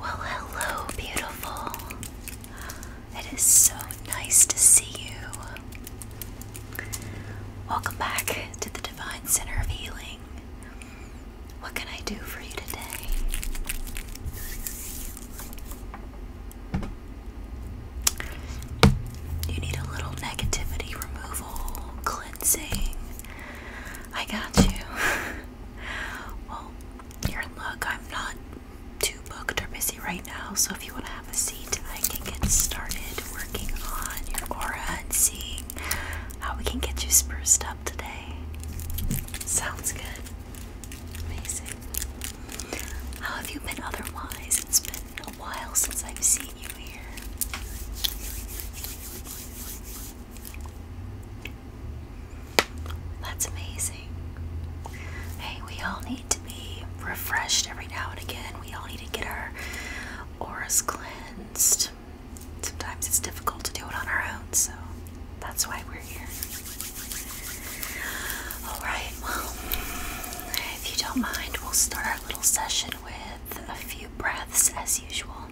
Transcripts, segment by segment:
Well, hello, beautiful. It is so nice to see you. Welcome back to the Divine Center of Healing. What can I do for you today? You need a little negativity removal, cleansing. I got you. well, your look, I'm not too booked or busy right now, so if you want to have a seat, I can get started working on your aura and seeing how we can get you spruced up today. Sounds good. Amazing. How have you been otherwise? It's been a while since I've seen you here. That's amazing. Hey, we all need to be refreshed every now and again. We all need to get our auras cleansed. Sometimes it's difficult to do it on our own, so that's why we're here. Alright, well, if you don't mind, we'll start our little session with a few breaths as usual.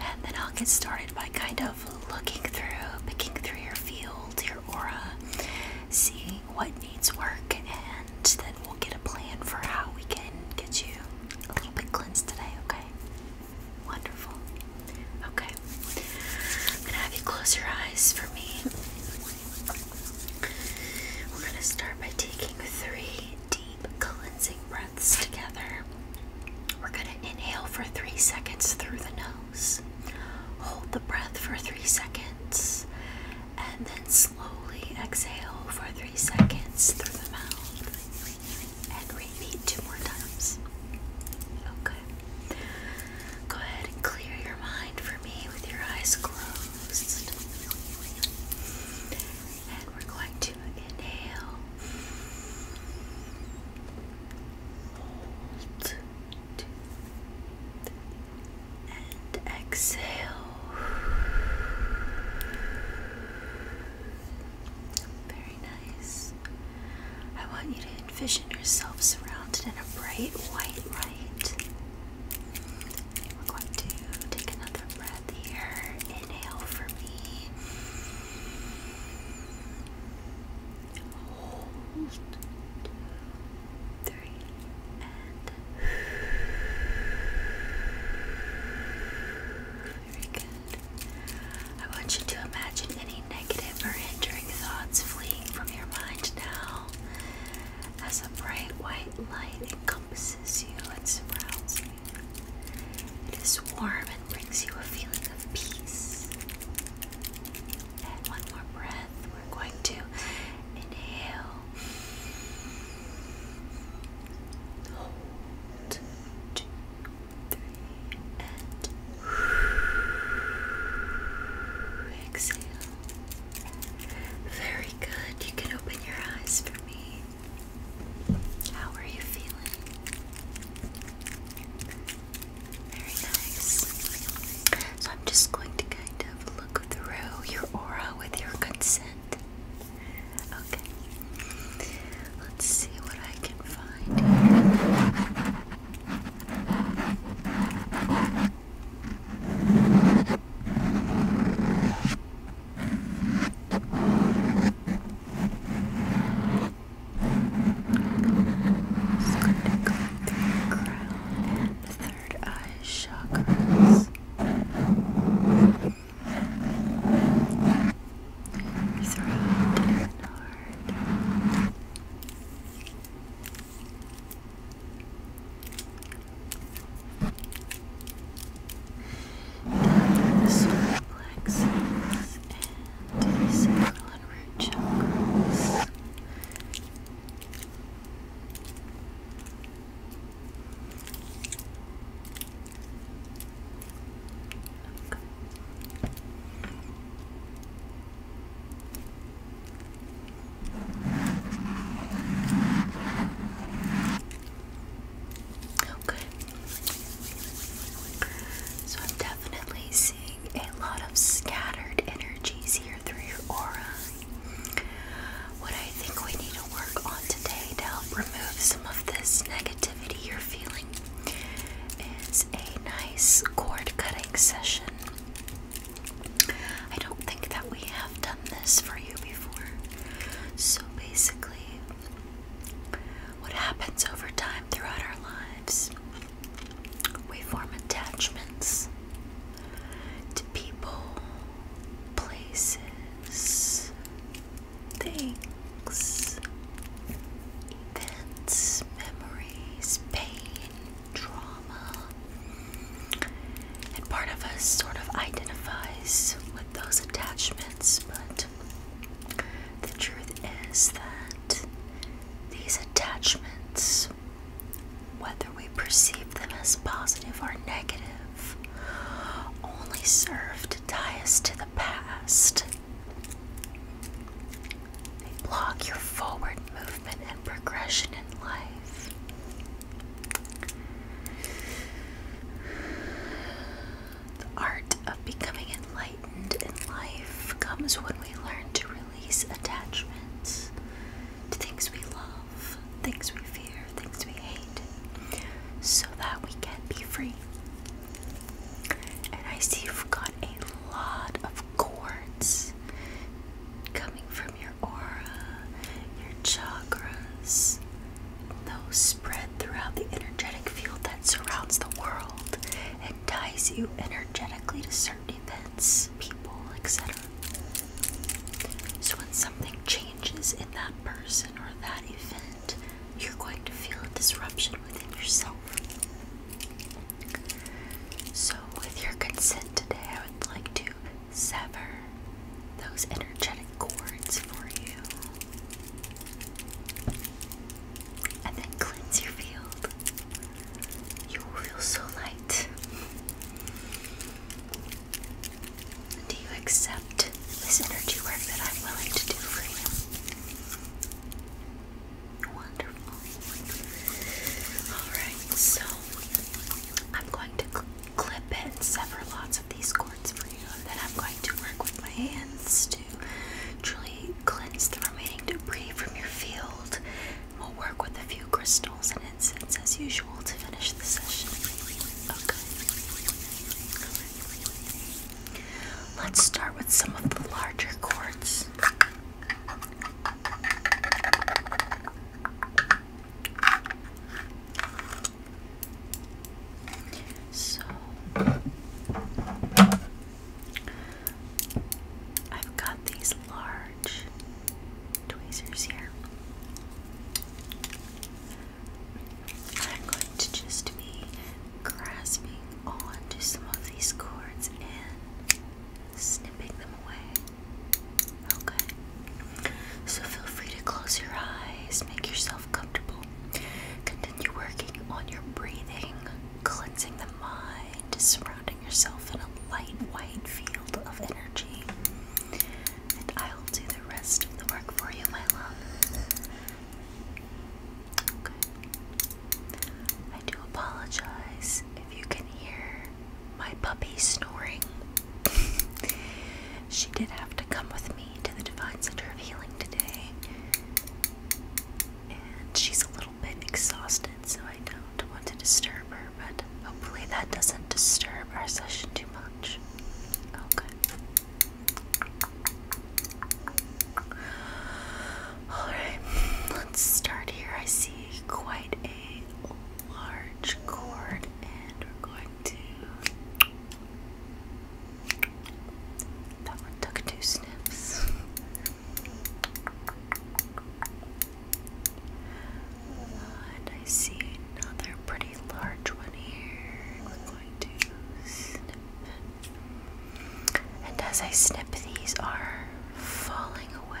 And then I'll get started by kind of looking through, picking through your field, your aura, seeing what needs work, and then we'll get a plan for how we can get you a little bit cleansed today, okay? Wonderful. Okay. I'm gonna have you close your eyes for me. We're gonna start by taking three deep deep cleansing breaths together. We're going to inhale for three seconds through the nose, hold the breath for three seconds, and then slowly exhale for three seconds through the mouth. And repeat two more times. Okay. Go ahead and clear your mind for me with your eyes closed. And we're going to inhale, hold, and exhale. Very nice. I want you to envision yourself surrounded in a bright white light. We're going to take another breath here. Inhale for me. Hold. Three and very good. I want you to imagine any negative or hindering thoughts fleeing from your mind now as a bright white light encompasses you and surrounds you. It is warm and brings you a feeling of peace. And one more breath. We're going to inhale, hold, and exhale. Very good. You can open your eyes for me. How are you feeling? Very nice. So I'm just going to kind of look through your aura with your consent. Okay. Let's see what I can find just going through your crown and the third eye chakras. Throat and heart the solar plexus and the sacral and root chakras. Okay. So I'm definitely seeing a lot of scattered energies here through your aura. What I think we need to work on today to help remove some of this negativity you're feeling is a nice cord cutting session. I don't think that we have done this for you before. So basically, what happens over time throughout our lives? We form attachments to people, places, things, events, memories, pain, trauma. And part of us sort of identifies those attachments, but the truth is that these attachments, whether we perceive them as positive or negative, only serve to tie us to the past. They block your forward movement and progression in life. The art of becoming enlightened in life comes when we learn to release attachments to things we love, things we fear, things we hate, so that we can be free. And I see you've got a lot of cords coming from your aura, your chakras, those spread throughout the energetic field that surrounds the world and ties you energetically to certain events, people, etc. So when something changes in that person or that event, you're going to feel a disruption within yourself. So, with your consent today, I would like to sever those energetic cords for you and then cleanse your field. You will feel so light. Do you accept this energy work that I'm willing to do for you? Wonderful. Alright, so I'm going to cl clip and sever lots these cords for you, and then I'm going to work with my hands to truly cleanse the remaining debris from your field. We'll work with a few crystals and incense as usual to finish the session. Okay. Let's start with some of the larger cords. So I've got these large tweezers here. I'm going to just be grasping onto some of these cords and snipping them away. Okay. So feel free to close your eyes, make yourself comfortable. Continue working on your breathing, cleansing the mind, surrounding yourself in a light white field of energy. And I'll do the rest of the work for you, my love. I do apologize if you can hear my puppy snoring. she did have to come with to the Divine Center of Healing today. And she's a little bit exhausted, so I don't want to disturb her, but hopefully that doesn't disturb our session too much. Okay. Oh, Alright, let's start here. I see quite a large cord, and going to that one took two snips. And I see another pretty large one here. We're going to And as I snip, these are falling away.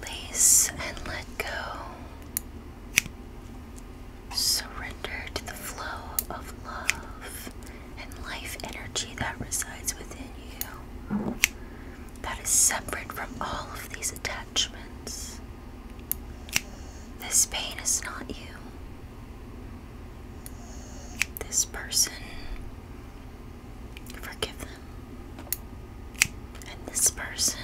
Release and let go. Surrender to the flow of love and life energy that resides within you, that is separate from all of these attacks judgments. This pain is not you. This person, forgive them. And this person,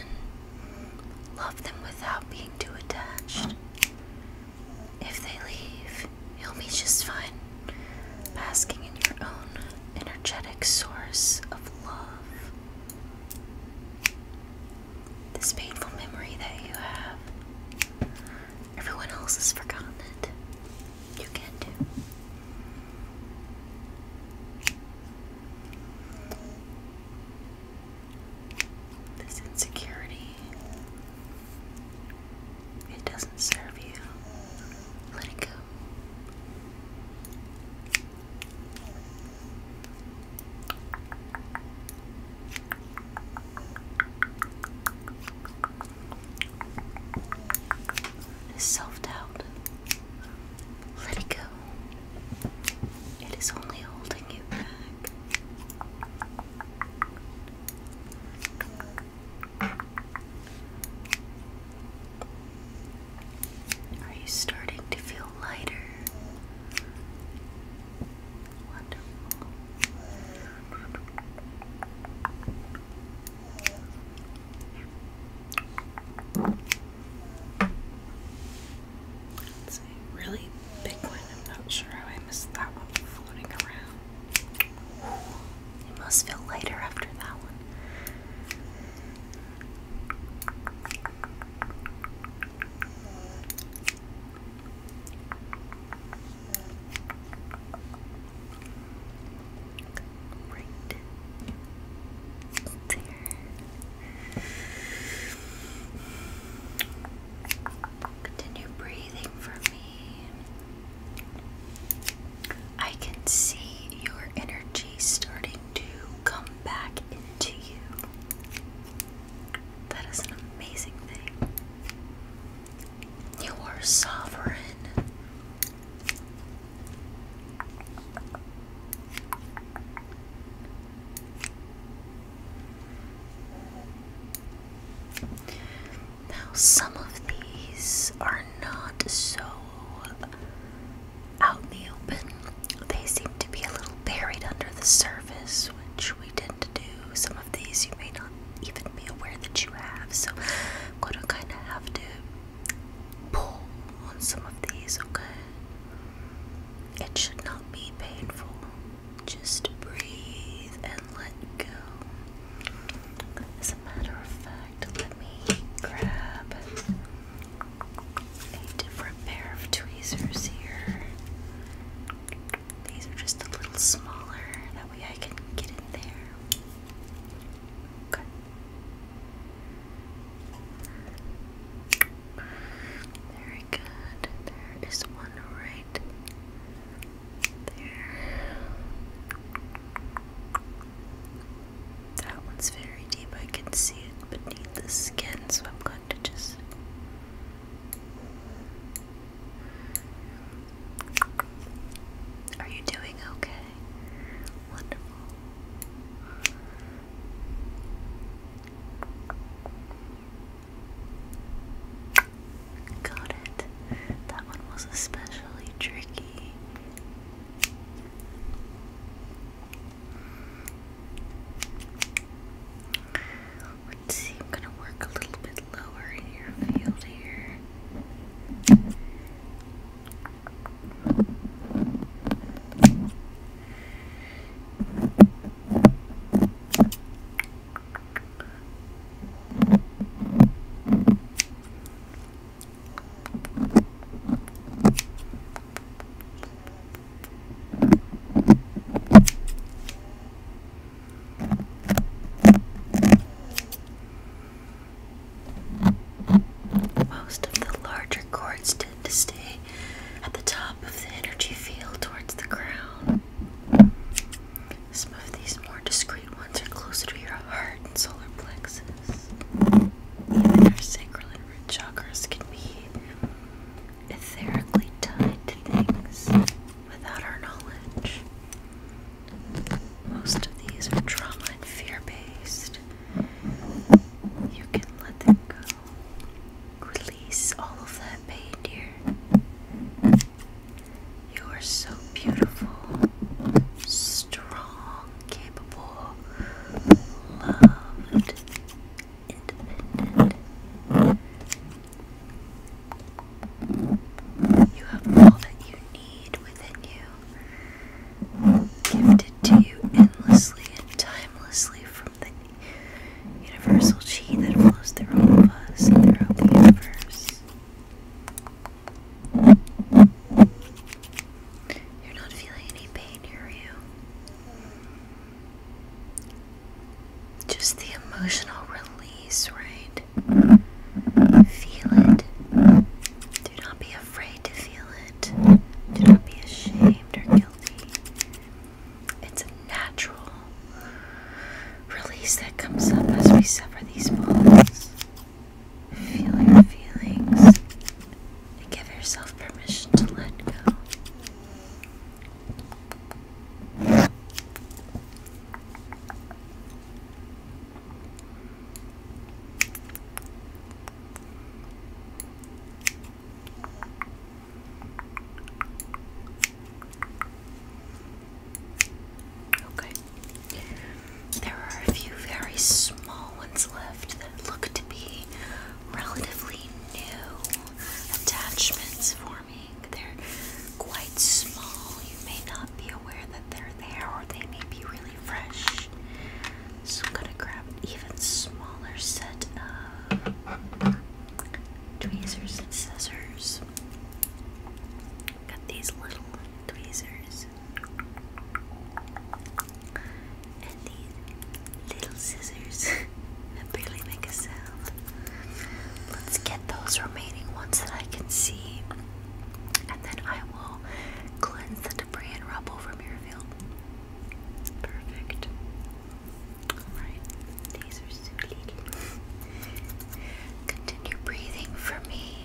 love them without being too attached. If they leave, you'll be just fine, basking in your own energetic source of love. This painful memory that you have. Everyone else has forgotten it. You can too. This insecurity. It doesn't serve you. Let it go. Self doubt. Let it go. It is only holding you back. Are you starting to feel lighter? Wonderful. It's a really big one. I'm not sure how I missed that one floating around. It must feel lighter after that one. Right there. Continue breathing for me. I can see your energy starting do come back into you. That is an amazing thing. You are sovereign. Now, some of these are not so out in the open. They seem to be a little buried under the surface, which we tend to do. Some of these you may not even be aware that you have, so I'm going to kind of have to pull on some of these, okay? It should not be painful. Just breathe and let go. As a matter of fact, let me grab a different pair of tweezers here. These are just a little smaller, that way I can get in there. Okay. Very good. There is one right there. That one's very deep. I can see it beneath the skin, so I'm going to just. Are you doing okay? Wonderful. Got it. That one was especially tricky. Let's see, I'm gonna work a little bit lower in your field here. Most of the larger cords tend to stay at the top of the energy field towards the ground. Some of these more discreet ones are closer to your heart and solar plexus, even your sacral root chakras can be etherically tied to things without our knowledge. Most of these are trauma and fear based. You can let them go. Release all of that pain, dear. You are so beautiful, strong, capable, loved, you have all that you need within you, gifted to you endlessly and timelessly from the universal chi that flows through all of us and throughout the universe. You're not feeling any pain, are you? Just the emotional release, right? Feel it. Do not be afraid to feel it. Do not be ashamed or guilty. It's a natural release that comes up as we suffer these balls. Feel your feelings and give yourself permission to let go. Okay. There are a few very small ones left that look to be relatively new attachments for me. They're quite small. You may not be aware that they're there or they may be really fresh. So I'm gonna grab even smaller set of tweezers and scissors. Got these little tweezers. And these little scissors barely make a sound. Let's get those remaining ones that I can see. And then I will cleanse the debris and rubble from your field. Perfect. Alright, these are so Continue breathing for me.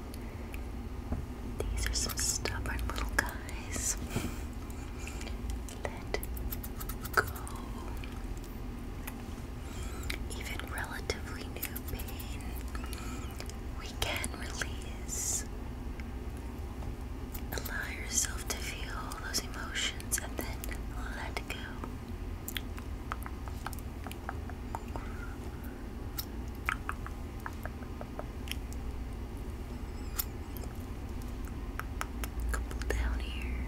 These are some stubborn little guys. Let go. Even relatively new pain, we can release. Allow yourself to feel those emotions and then let go. Couple down here.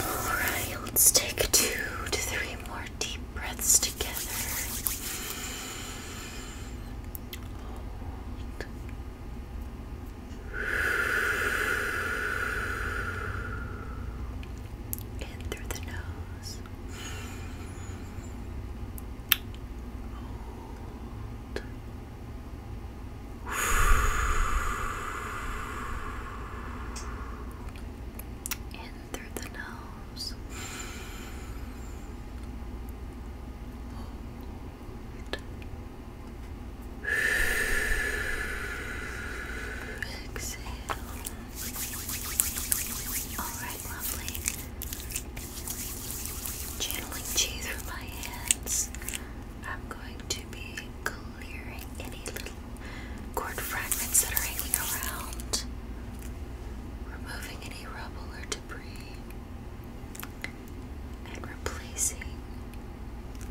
Alright, let's take two to three more deep breaths together. In through the nose. In through the nose. Exhale. Alright, lovely. Channeling cheese with my hands. I'm going to be clearing any little cord fragments that are hanging around. Removing any rubble or debris and replacing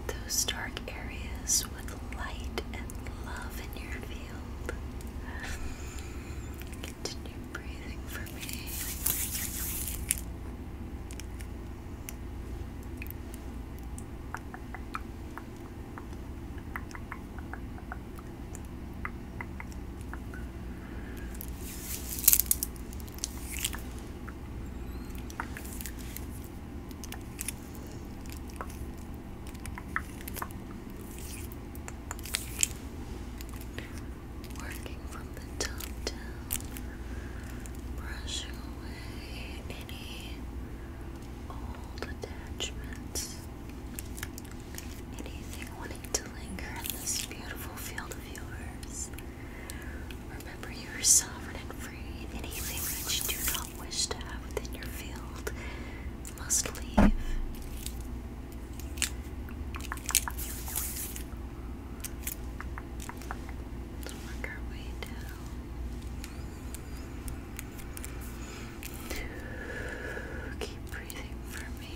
those dark areas with light and love in your field. Continue breathing for me. Working from the top down, brushing away any old attachments, anything wanting to linger in this beautiful field of yours. Remember, you are sovereign and free, anything that you do not wish to have within your field must leave. Let's work our way down. Keep breathing for me.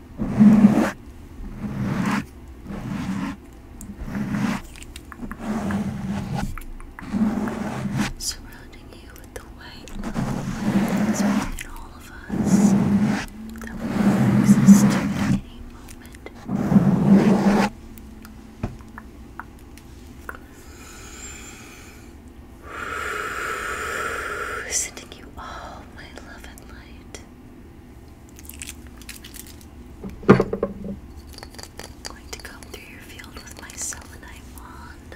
surrounding you with the white love within all of us that will exist at any moment. Sending you all my love and light. I'm going to comb through your field with my selenite wand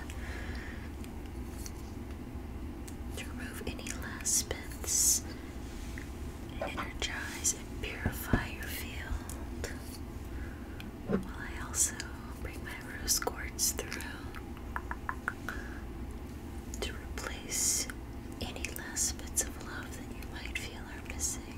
to remove any last bits energize and purify your field. While I also bring my rose quartz through to replace any last bits of love that you might feel are missing.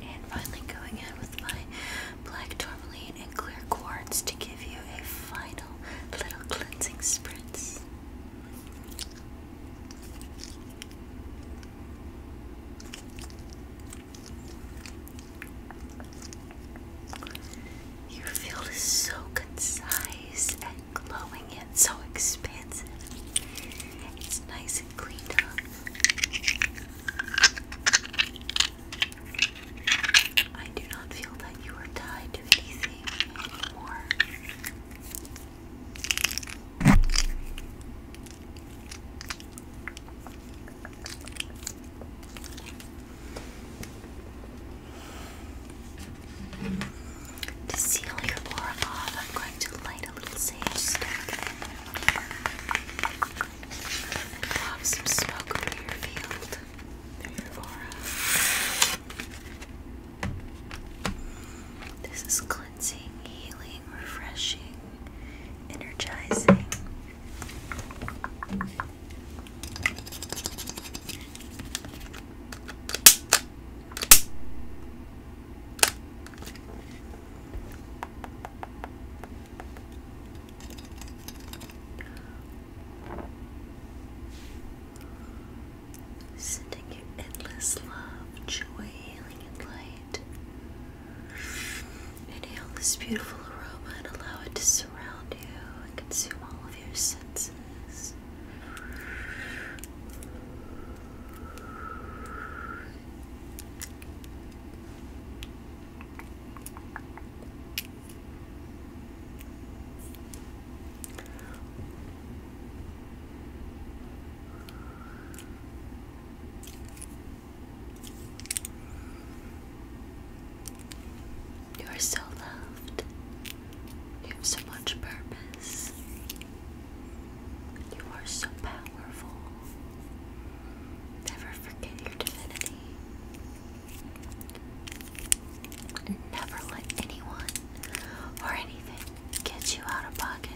And finally going in with my black tourmaline and clear quartz to give you a final little cleansing spritz. Your field is so concise and glowing and so expansive. It's nice and cleaned up. I do not feel that you are tied to anything anymore. To seal your aura off, I'm going to light a little sage stick and some smoke through your field, your aura. This is cleansing, healing, refreshing, energizing. Sending you endless love, joy, healing, and light. Inhale this beautiful aroma and allow it to surround you and consume all of your senses. You are so loved. You have so much purpose. You are so powerful. Never forget your divinity. And never let anyone or anything get you out of pocket.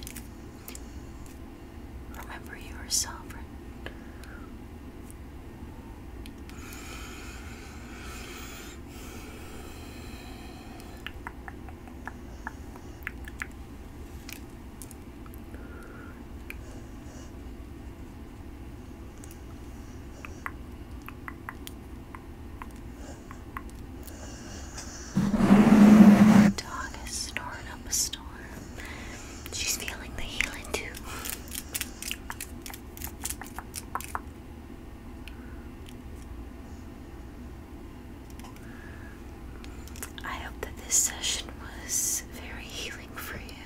Remember, you are sovereign. Our dog is snoring up a storm. She's feeling the healing too. I hope that this session was very healing for you.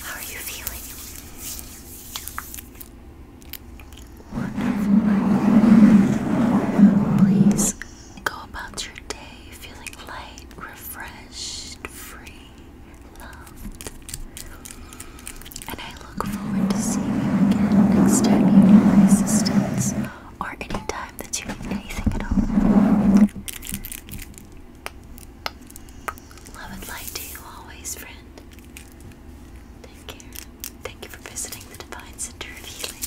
How are you feeling? Wonderful. Please go about your day feeling light, refreshed, free. And I look forward to seeing you again next time you need my assistance or any time that you need anything at all. Love and light to you always, friend. Take care. Thank you for visiting the Divine Center of Healing.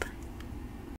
Bye